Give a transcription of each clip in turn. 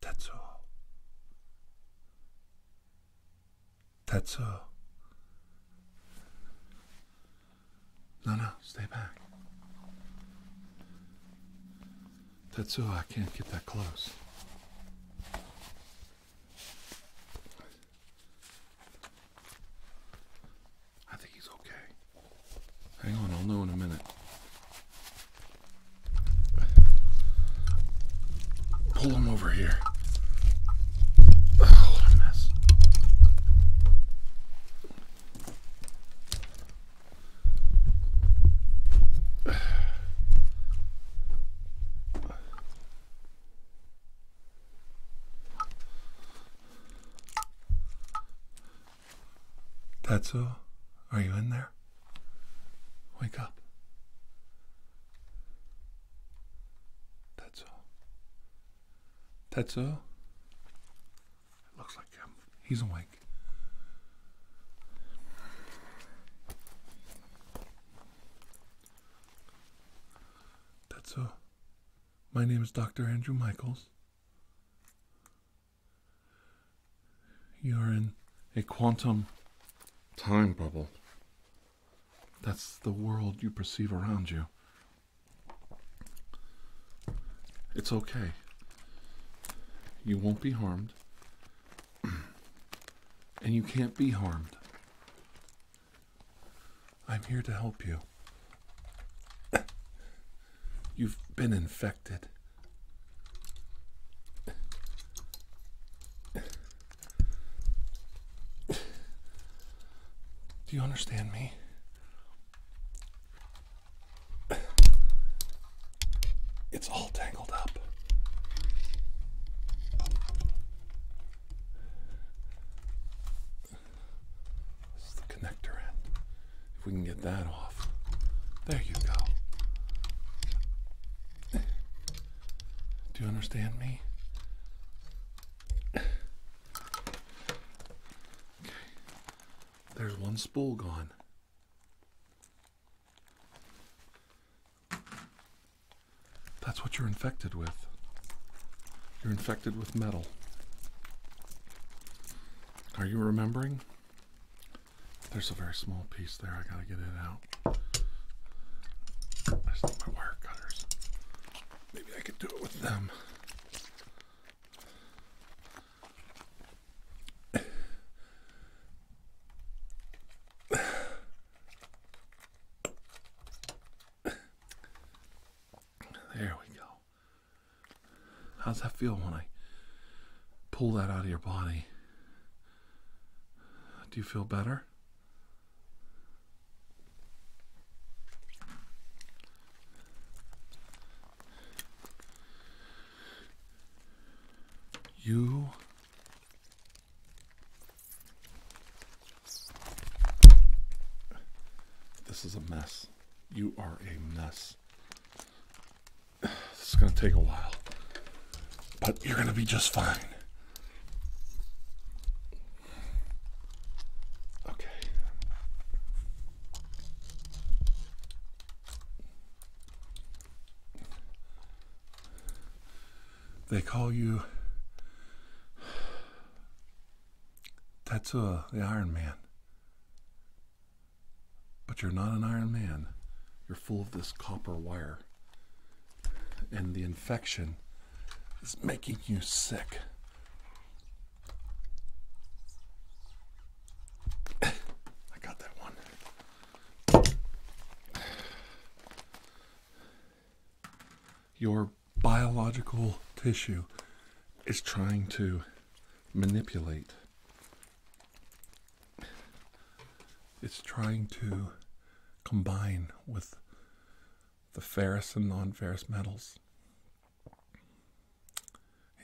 That's all. That's all. No, no, stay back. That's oh, I can't get that close. I think he's okay. Hang on, I'll know in a minute. Pull him over here. Tetsu, are you in there? Wake up. Tetsu. Tetsu, It looks like him. He's awake. That's all. Uh, my name is Dr. Andrew Michaels. You are in a quantum time bubble. That's the world you perceive around you. It's okay. You won't be harmed and you can't be harmed. I'm here to help you. You've been infected. Do you understand me? It's all tangled up. This is the connector end. If we can get that off. There you go. Do you understand me? Okay. There's one spool gone. That's what you're infected with. You're infected with metal. Are you remembering? There's a very small piece there. I gotta get it out. I still have my wire cutters. Maybe I could do it with them. There we go. How's that feel when I pull that out of your body? Do you feel better? You This is a mess. You are a mess. This is going to take a while. But you're going to be just fine. Okay. They call you Tetsuo, the Iron Man. But you're not an Iron Man. You're full of this copper wire. And the infection is making you sick. I got that one. Your biological tissue is trying to manipulate. It's trying to combine with the ferrous and non ferrous metals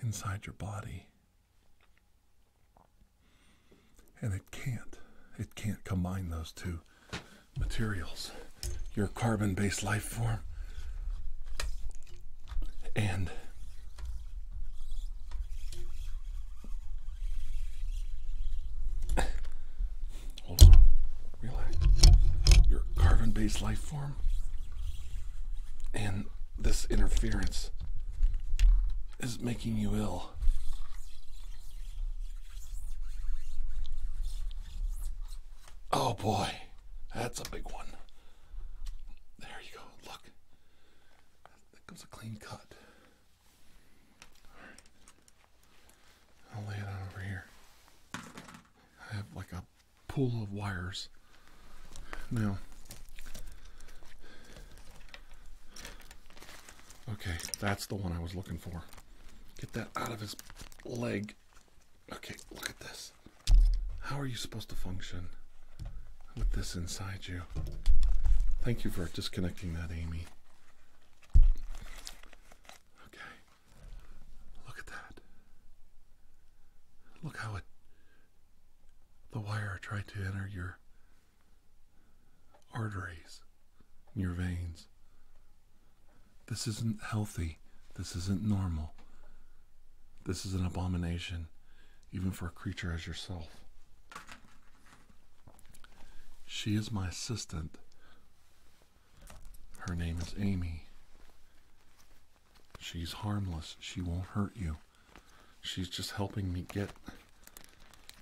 inside your body and it can't. It can't combine those two materials. Your carbon based life form and hold on, relax. Your carbon based life form and this interference is making you ill. Oh boy, that's a big one. There you go. Look, that comes a clean cut. right. I'll lay it on over here. I have like a pool of wires now, okay, that's the one I was looking for. Get that out of his leg. Okay, look at this. How are you supposed to function with this inside you? Thank you for disconnecting that, Amy. Okay. Look at that. Look how it the wire tried to enter your arteries, your veins. This isn't healthy. This isn't normal. This is an abomination, even for a creature as yourself. She is my assistant. Her name is Amy. She's harmless. She won't hurt you. She's just helping me get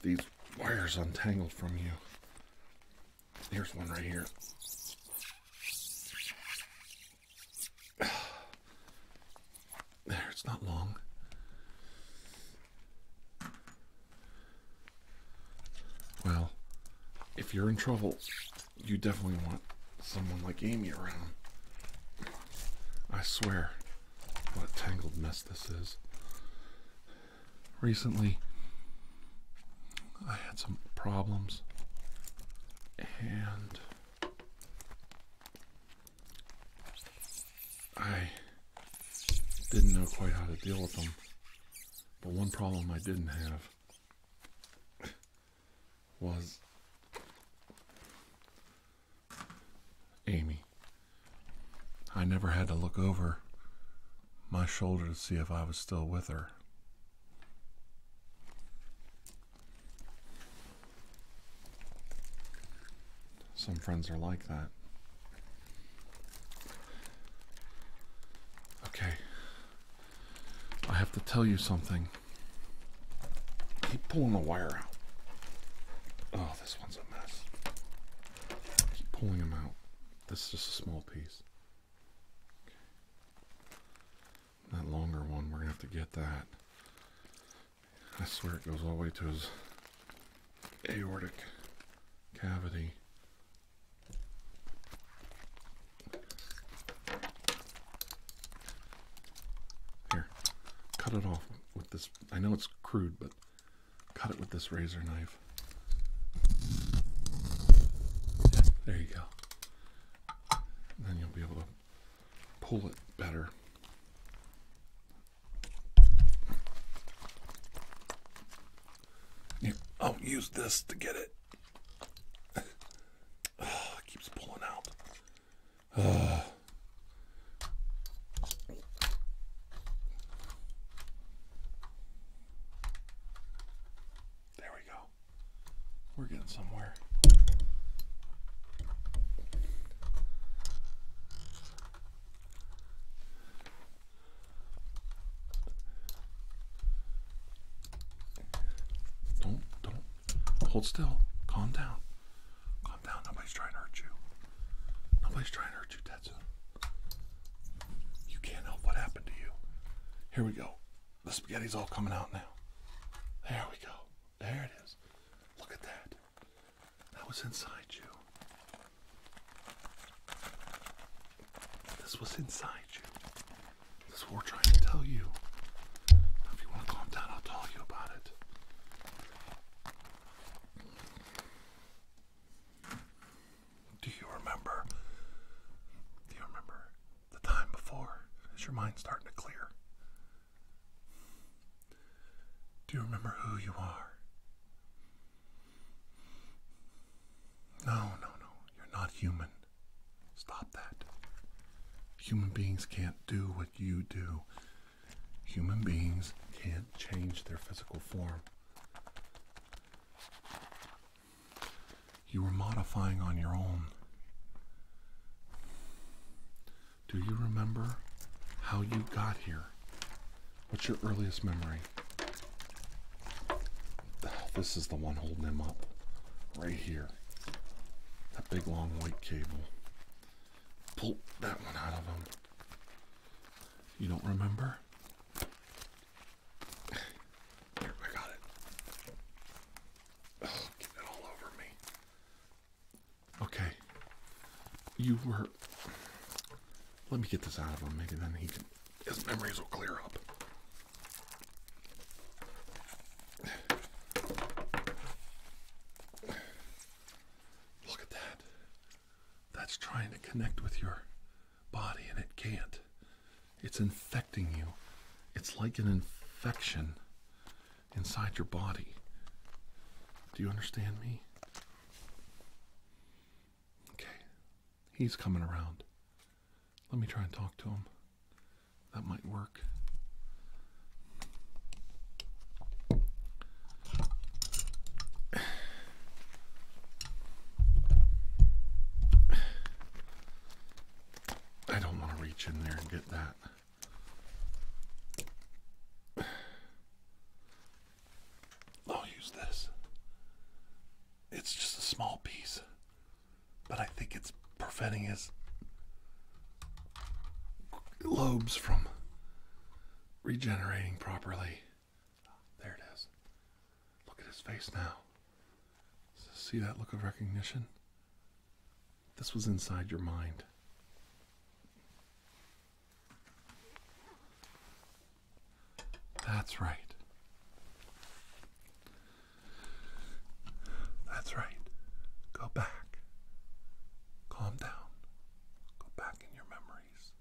these wires untangled from you. Here's one right here. There, it's not long. Well, if you're in trouble, you definitely want someone like Amy around. I swear, what a tangled mess this is. Recently, I had some problems and I didn't know quite how to deal with them. But one problem I didn't have was Amy. I never had to look over my shoulder to see if I was still with her. Some friends are like that. Okay. I have to tell you something. Keep pulling the wire out. Oh, this one's a mess. Keep pulling them out. This is just a small piece. That longer one, we're gonna have to get that. I swear it goes all the way to his aortic cavity. Here, cut it off with this. I know it's crude, but cut it with this razor knife. there you go. then you'll be able to pull it better. I'll oh, use this to get it. Ah, it keeps pulling out. Uh, there we go. We're getting somewhere. Don't, don't. Hold still. Calm down. Calm down. Nobody's trying to hurt you. Nobody's trying to hurt you, Tetsu. You can't help what happened to you. Here we go. The spaghetti's all coming out now. There we go. There it is. Look at that. That was inside you. This was inside you. This is what we're trying to tell you. if you want to calm down, I'll tell you about it. Do you remember? Do you remember the time before? Is your mind starting to clear? Do you remember who you are? No, no, no. You're not human. Stop that. Human beings can't do what you do. Human beings can't change their physical form. You were modifying on your own. Do you remember how you got here? What's your earliest memory? This is the one holding him up. Right here. That big long white cable pull that one out of him. You don't remember? Here, I got it. get it all over me. Okay. You were. Let me get this out of him. Maybe then he can. His memories will clear up. Look at that. That's trying to connect with your body and it can't. It's infecting you. It's like an infection inside your body. Do you understand me? Okay. He's coming around. Let me try and talk to him. That might work. I don't want to reach in there and get that. I'll use this. It's just a small piece, but I think it's preventing his lobes from regenerating properly. There it is. Look at his face now. See that look of recognition? This was inside your mind. That's right. That's right. Go back. Calm down. Go back in your memories.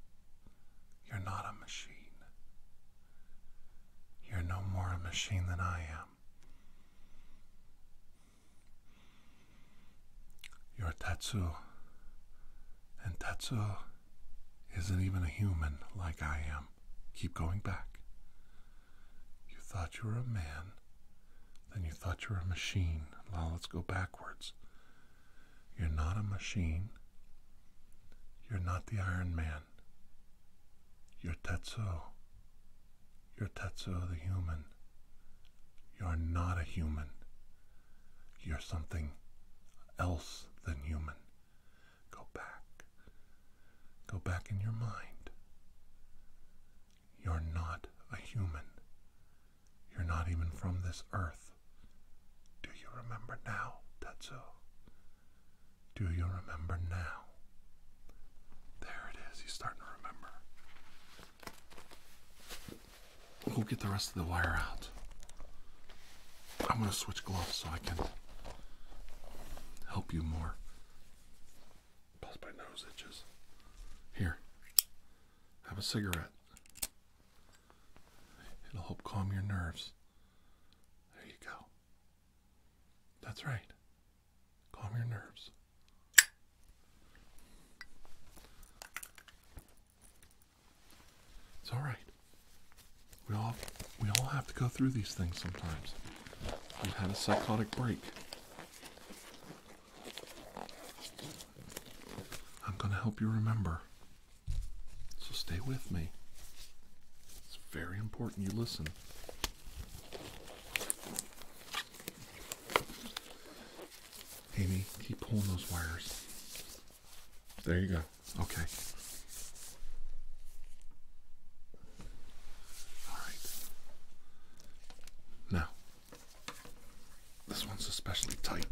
You're not a machine. You're no more a machine than I am. You're Tatsu, and Tatsu isn't even a human like I am. Keep going back. You thought you were a man, then you thought you were a machine. Now let's go backwards. You're not a machine. You're not the Iron Man. You're Tetsuo. You're Tetsuo the human. You're not a human. You're something else than human. Go back. Go back in your mind. You're not a human. You're not even from this earth. Do you remember now, Tetsuo? Do you remember now? There it is. He's starting to remember. We'll get the rest of the wire out. I'm going to switch gloves so I can help you more. Plus my nose itches. Here. Have a cigarette. It'll help calm your nerves. There you go. That's right. Calm your nerves. It's all right. We all we all have to go through these things sometimes. We've had a psychotic break. I'm going to help you remember. So stay with me. It's very important you listen. Amy, keep pulling those wires. There you go. Okay. All right. Now, this one's especially tight.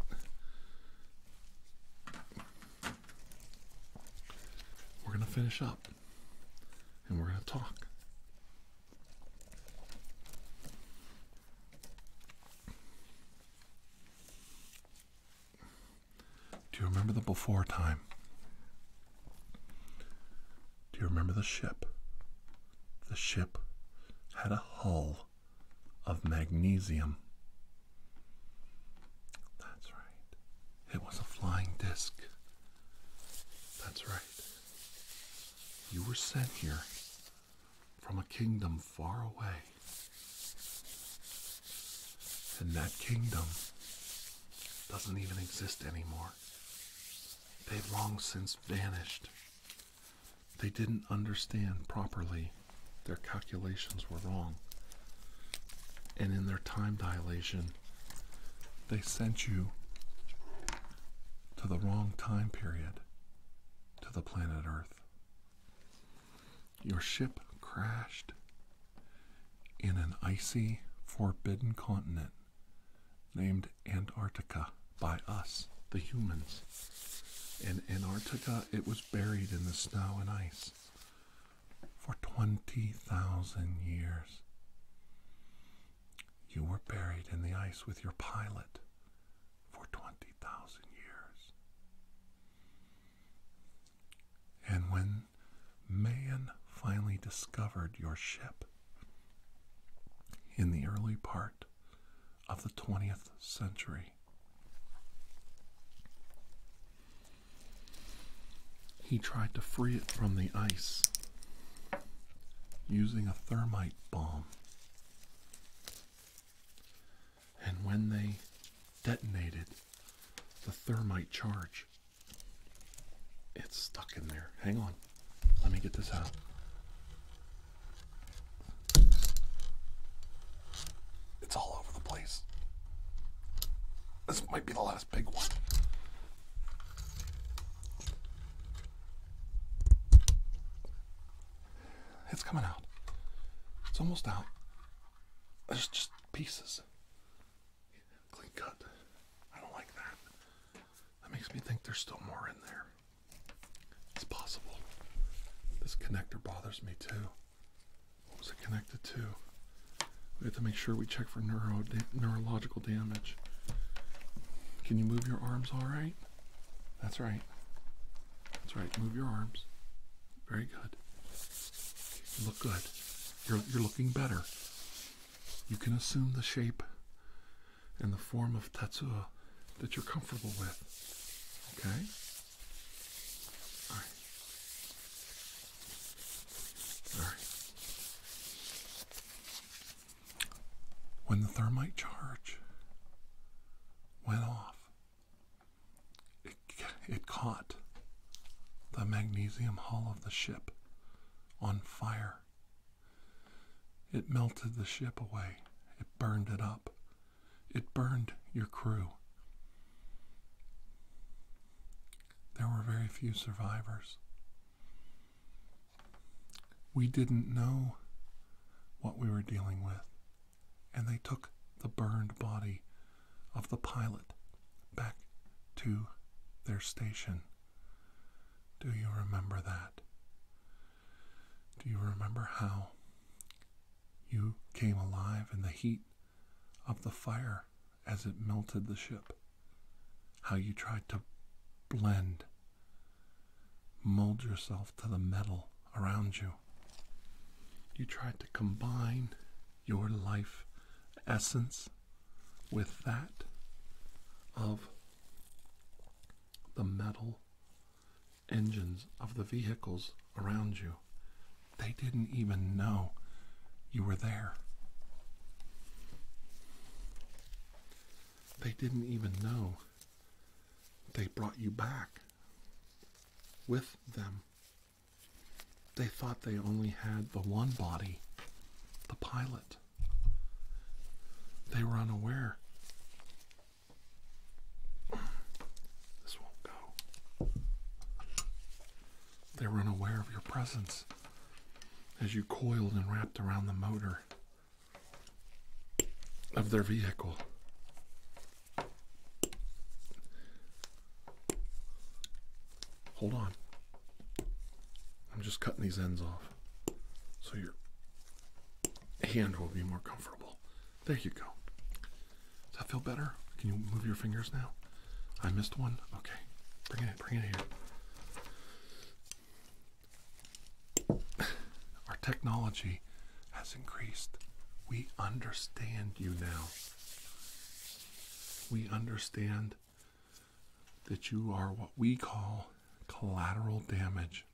We're going to finish up and we're going to talk. Do you remember the before time? Do you remember the ship? The ship had a hull of magnesium. That's right. It was a flying disc. That's right. You were sent here from a kingdom far away. And that kingdom doesn't even exist anymore they long since vanished. They didn't understand properly. Their calculations were wrong. And in their time dilation, they sent you to the wrong time period to the planet Earth. Your ship crashed in an icy, forbidden continent named Antarctica by us, the humans. In Antarctica, it was buried in the snow and ice for 20,000 years. You were buried in the ice with your pilot for 20,000 years. And when man finally discovered your ship, in the early part of the 20th century. He tried to free it from the ice using a thermite bomb. And when they detonated the thermite charge, it's stuck in there. Hang on. Let me get this out. It's all over the place. This might be the last big one. It's coming out. It's almost out. There's just pieces clean cut. I don't like that. That makes me think there's still more in there. It's possible. This connector bothers me too. What was it connected to? We have to make sure we check for neuro neurological damage. Can you move your arms all right? That's right. That's right. Move your arms. Very good. You look good. You're, you're looking better. You can assume the shape and the form of Tetsuo that you're comfortable with. Okay? Alright. Alright. When the thermite charge went off, it, it caught the magnesium hull of the ship on fire. It melted the ship away. It burned it up. It burned your crew. There were very few survivors. We didn't know what we were dealing with, and they took the burned body of the pilot back to their station do you remember that? Do you remember how you came alive in the heat of the fire as it melted the ship? How you tried to blend, mold yourself to the metal around you? You tried to combine your life essence with that of the metal engines of the vehicles around you. They didn't even know you were there. They didn't even know they brought you back with them. They thought they only had the one body, the pilot. They were unaware. This won't go. They were unaware of your presence as you coiled and wrapped around the motor of their vehicle. Hold on. I'm just cutting these ends off so your hand will be more comfortable. There you go. Does that feel better? Can you move your fingers now? I missed one. Okay. Bring it bring it here. Our technology has increased. We understand you now. We understand that you are what we call collateral damage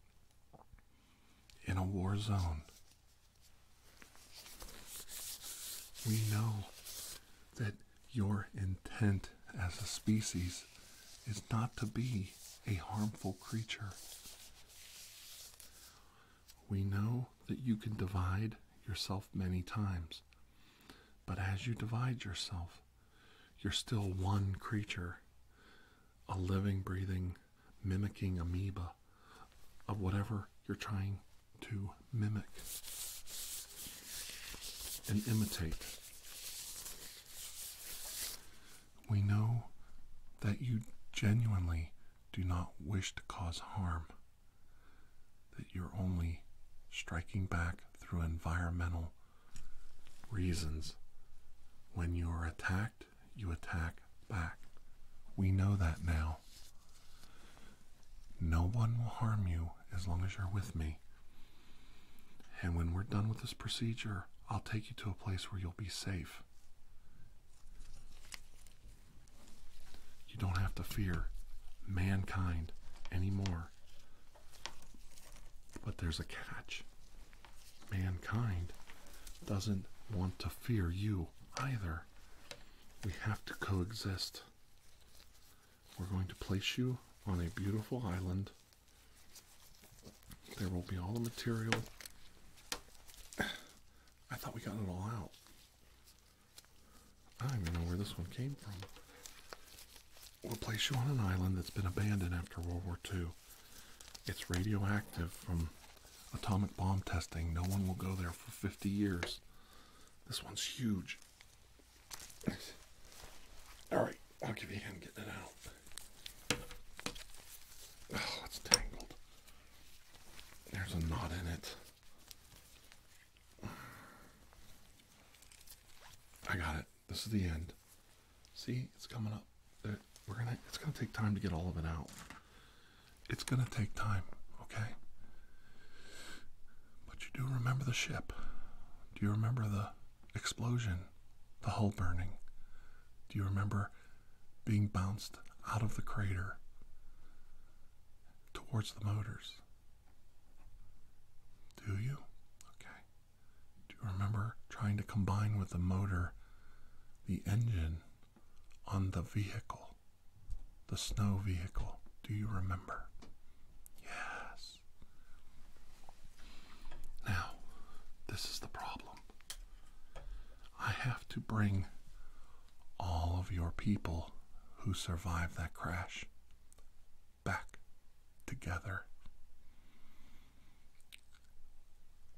in a war zone. We know that your intent as a species is not to be a harmful creature. We know that you can divide yourself many times. But as you divide yourself, you're still one creature, a living, breathing, mimicking amoeba of whatever you're trying to mimic and imitate. We know that you genuinely do not wish to cause harm that you're only striking back through environmental reasons. When you are attacked, you attack back. We know that now. No one will harm you as long as you're with me. And when we're done with this procedure, I'll take you to a place where you'll be safe. You don't have to fear mankind anymore. But there's a catch. Mankind doesn't want to fear you either. We have to coexist. We're going to place you on a beautiful island. There will be all the material. I thought we got it all out. I don't even know where this one came from. We'll place you on an island that's been abandoned after World War II. It's radioactive from atomic bomb testing. No one will go there for 50 years. This one's huge. Alright, I'll give you a hand getting it out. Oh, it's tangled. There's a knot in it. I got it. This is the end. See, it's coming up. We're gonna. It's gonna take time to get all of it out. It's gonna take time, okay? But you do remember the ship. Do you remember the explosion, the hull burning? Do you remember being bounced out of the crater towards the motors? Do you? Okay. Do you remember trying to combine with the motor the engine on the vehicle? The snow vehicle. Do you remember? Yes. Now, this is the problem. I have to bring all of your people who survived that crash back together.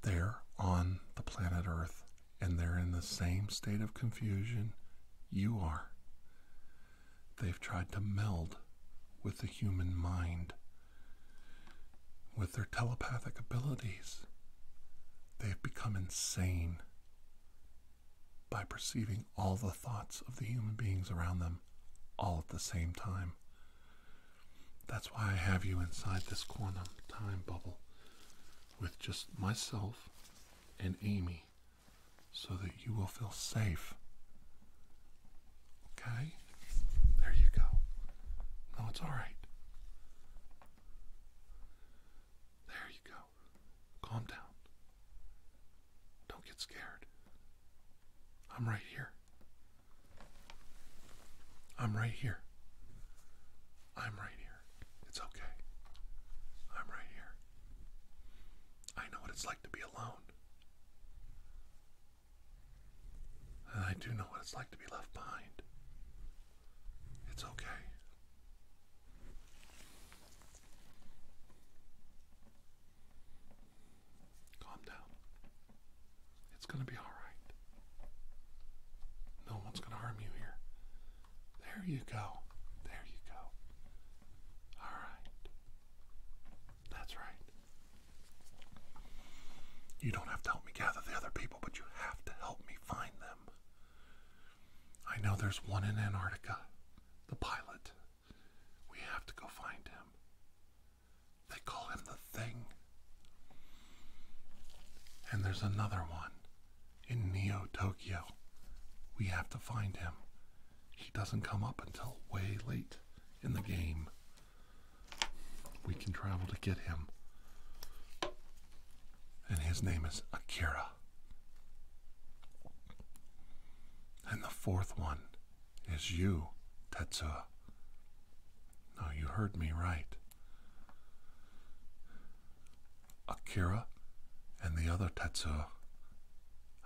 They're on the planet Earth and they're in the same state of confusion you are. They've tried to meld with the human mind, with their telepathic abilities. They've become insane by perceiving all the thoughts of the human beings around them all at the same time. That's why I have you inside this quantum time bubble with just myself and Amy so that you will feel safe. Okay? There you go. No, it's all right. There you go. Calm down. Don't get scared. I'm right here. I'm right here. I'm right here. It's okay. I'm right here. I know what it's like to be alone. I do know what it's like to be left behind. It's okay. Calm down. It's going to be all right. No one's going to harm you here. There you go. There you go. All right. That's right. You don't have to help me gather the other people, but you have to help me find them. I know there's one in Antarctica the pilot. We have to go find him. They call him the Thing. And there's another one in Neo Tokyo. We have to find him. He doesn't come up until way late in the game. We can travel to get him. And his name is Akira. And the fourth one is you, Tetsuo. No, you heard me right. Akira and the other Tetsuo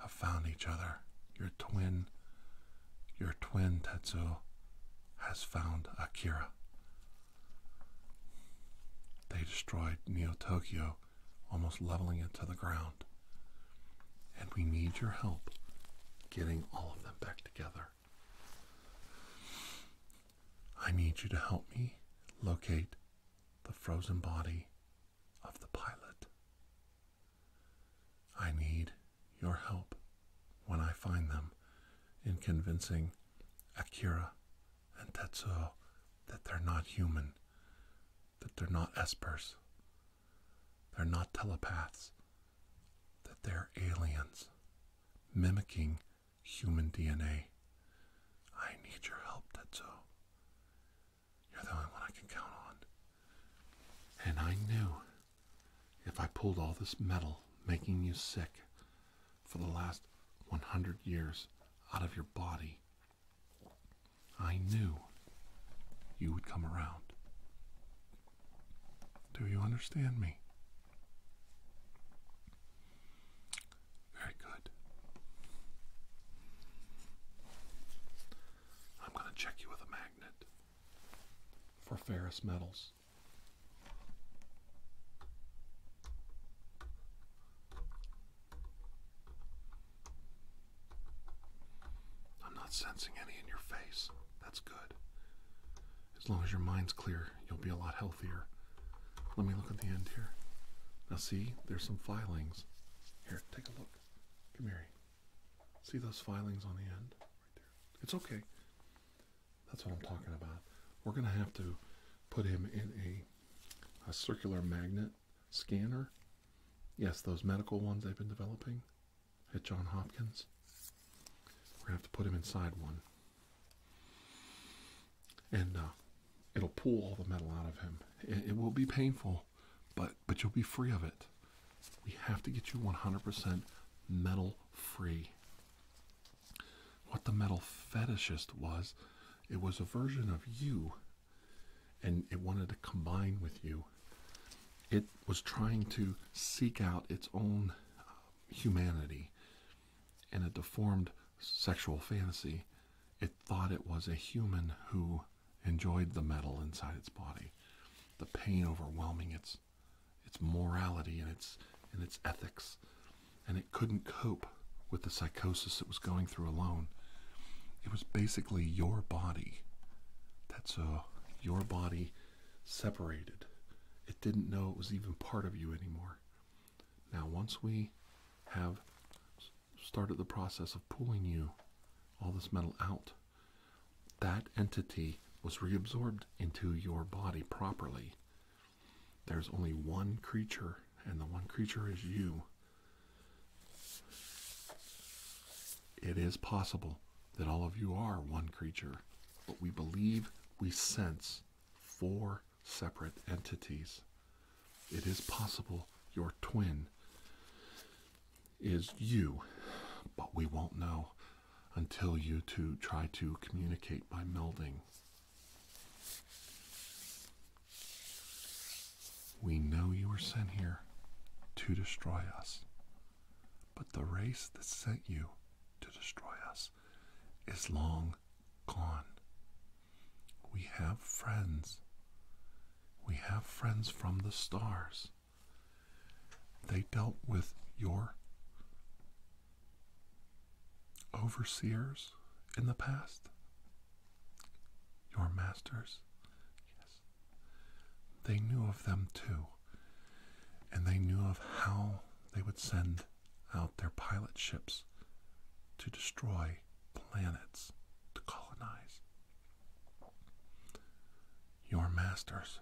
have found each other. Your twin, your twin Tetsuo has found Akira. They destroyed Neo Tokyo almost leveling it to the ground. And we need your help getting all of them back together. I need you to help me locate the frozen body of the pilot. I need your help when I find them in convincing Akira and Tetsuo that they're not human that they're not espers, they're not telepaths, that they're aliens mimicking human DNA. I need your help, Tetsuo. You're the only one I can count on. And I knew if I pulled all this metal making you sick for the last 100 years out of your body, I knew you would come around. Do you understand me? Very good. I'm going to check you with a magnet for ferrous metals. I'm not sensing any in your face. That's good. As long as your mind's clear, you'll be a lot healthier. Let me look at the end here. Now, see, there's some filings. Here, take a look. Come here. See those filings on the end? Right there. It's okay. That's what I'm talking about. We're going to have to put him in a, a circular magnet scanner. Yes, those medical ones they've been developing at John Hopkins. We're going to have to put him inside one. And uh, it'll pull all the metal out of him. It, it will be painful, but, but you'll be free of it. We have to get you 100% metal free. What the metal fetishist was, it was a version of you and it wanted to combine with you. It was trying to seek out its own uh, humanity in a deformed sexual fantasy. It thought it was a human who enjoyed the metal inside its body, the pain overwhelming its its morality and its and its ethics, and couldn't cope with the psychosis it was going through alone. It was basically your body. That's uh, your body separated. It didn't know it was even part of you anymore. Now, once we have started the process of pulling you, all this metal out, that entity was reabsorbed into your body properly. There's only one creature, and the one creature is you. It is possible that all of you are one creature, but we believe we sense four separate entities. It is possible your twin is you, but we won't know until you two try to communicate by melding. We know you were sent here to destroy us, but the race that sent you to destroy us is long gone. We have friends. We have friends from the stars. They dealt with your overseers in the past your masters, yes, they knew of them too, and they knew of how they would send out their pilot ships to destroy planets to colonize. Your masters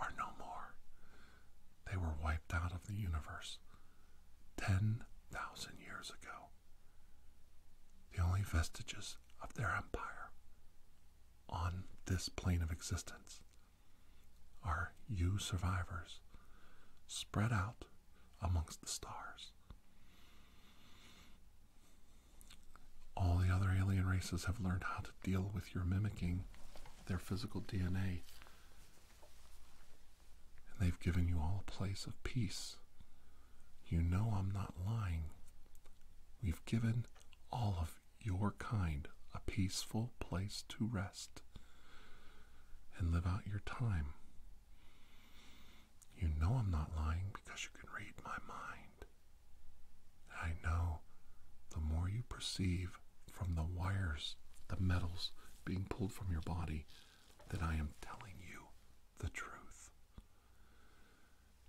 are no more. They were wiped out of the universe 10,000 years ago the only vestiges of their empire on this plane of existence are you survivors spread out amongst the stars. All the other alien races have learned how to deal with your mimicking their physical DNA and they've given you all a place of peace. You know I'm not lying. We've given all of your kind a peaceful place to rest and live out your time. You know I'm not lying because you can read my mind. I know the more you perceive from the wires, the metals being pulled from your body, that I am telling you the truth.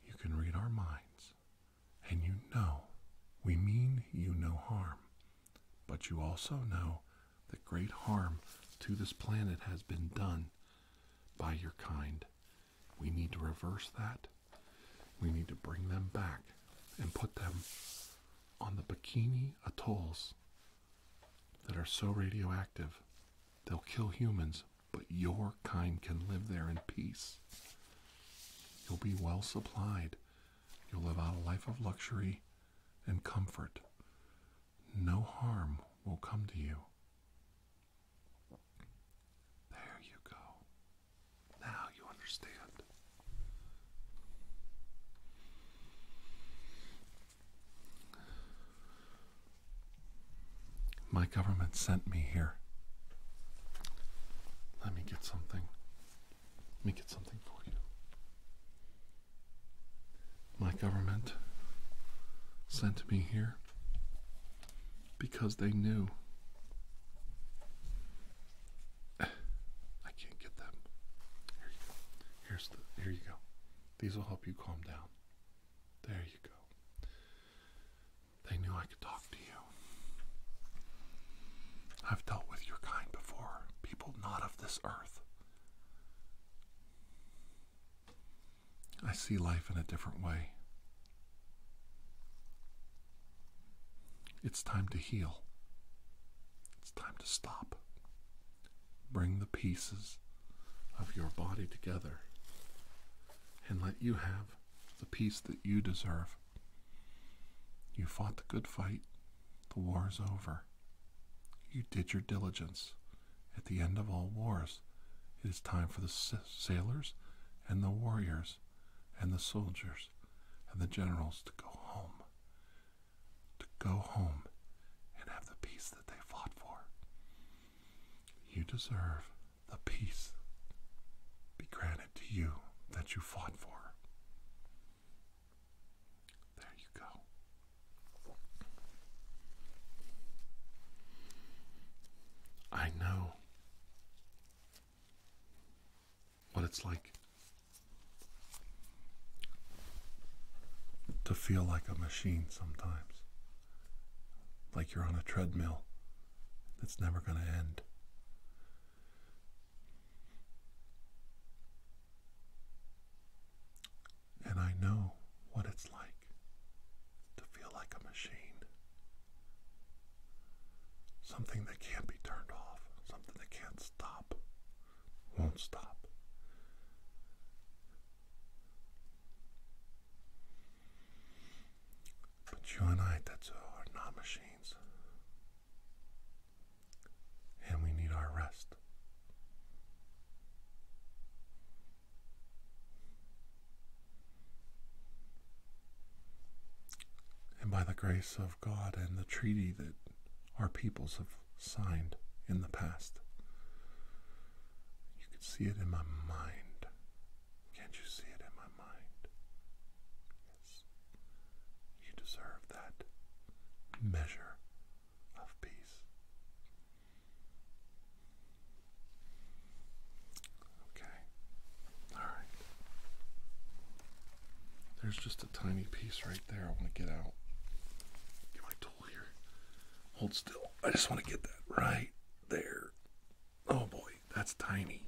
You can read our minds, and you know we mean you no harm, but you also know that great harm to this planet has been done by your kind. We need to reverse that. We need to bring them back and put them on the Bikini Atolls that are so radioactive they'll kill humans, but your kind can live there in peace. You'll be well supplied. You'll live out a life of luxury and comfort. No harm will come to you. There you go. Now you understand. My government sent me here. Let me get something. Let me get something for you. My government sent me here because they knew. I can't get them. Here you go. Here's the. Here you go. These will help you calm down. There you go. They knew I could talk to you. I've dealt with your kind before, people not of this earth. I see life in a different way. It's time to heal. It's time to stop. Bring the pieces of your body together and let you have the peace that you deserve. You fought the good fight, the war is over. You did your diligence. At the end of all wars, it is time for the sailors and the warriors and the soldiers and the generals to go home to go home and have the peace that they fought for. You deserve the peace be granted to you that you fought for. There you go. I know what it's like to feel like a machine sometimes, like you're on a treadmill that's never going to end. And I know what it's like to feel like a machine. Something that can't be turned off, something that can't stop, won't stop. But you and I, Tetsuo, are not machines. And we need our rest. And by the grace of God and the treaty that our peoples have signed in the past. You can see it in my mind. Can't you see it in my mind? Yes. You deserve that measure of peace. Okay. All right. There's just a tiny piece right there. I want to get out. Get my tool here. Hold still. I just want to get that right there. Oh boy, that's tiny.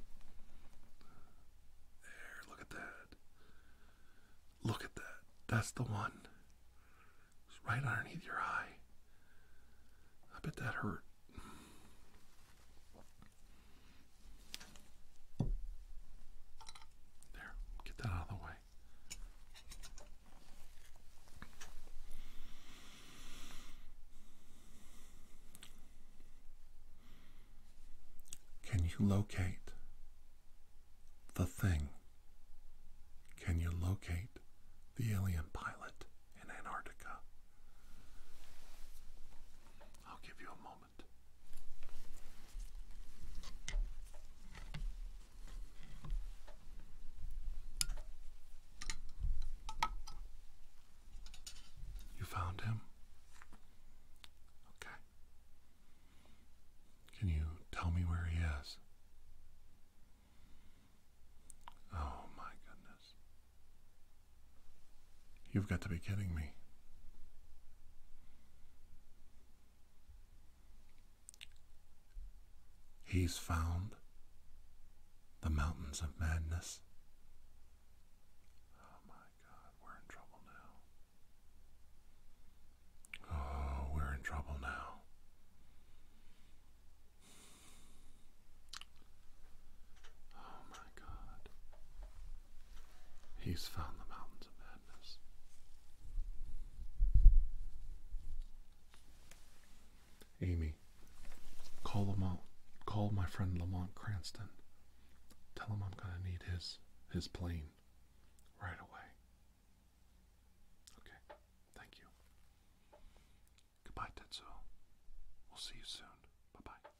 There, look at that. Look at that. That's the one. It's right underneath your eye. I bet that hurt. There, get that out of the way. Can you locate the thing? Can you locate the alien pilot in Antarctica? I'll give you a moment. You found him? Okay. Can you tell me where he is? Oh my goodness. You've got to be kidding me. He's found the mountains of madness. Oh my God, we're in trouble now. Oh, we're in trouble now. Oh my God. He's found the mountains of madness. Amy, call Lamont. Call my friend Lamont Cranston. Tell him I'm gonna need his his plane right away. Okay, thank you. Goodbye, Tetsuo. We'll see you soon. Bye bye.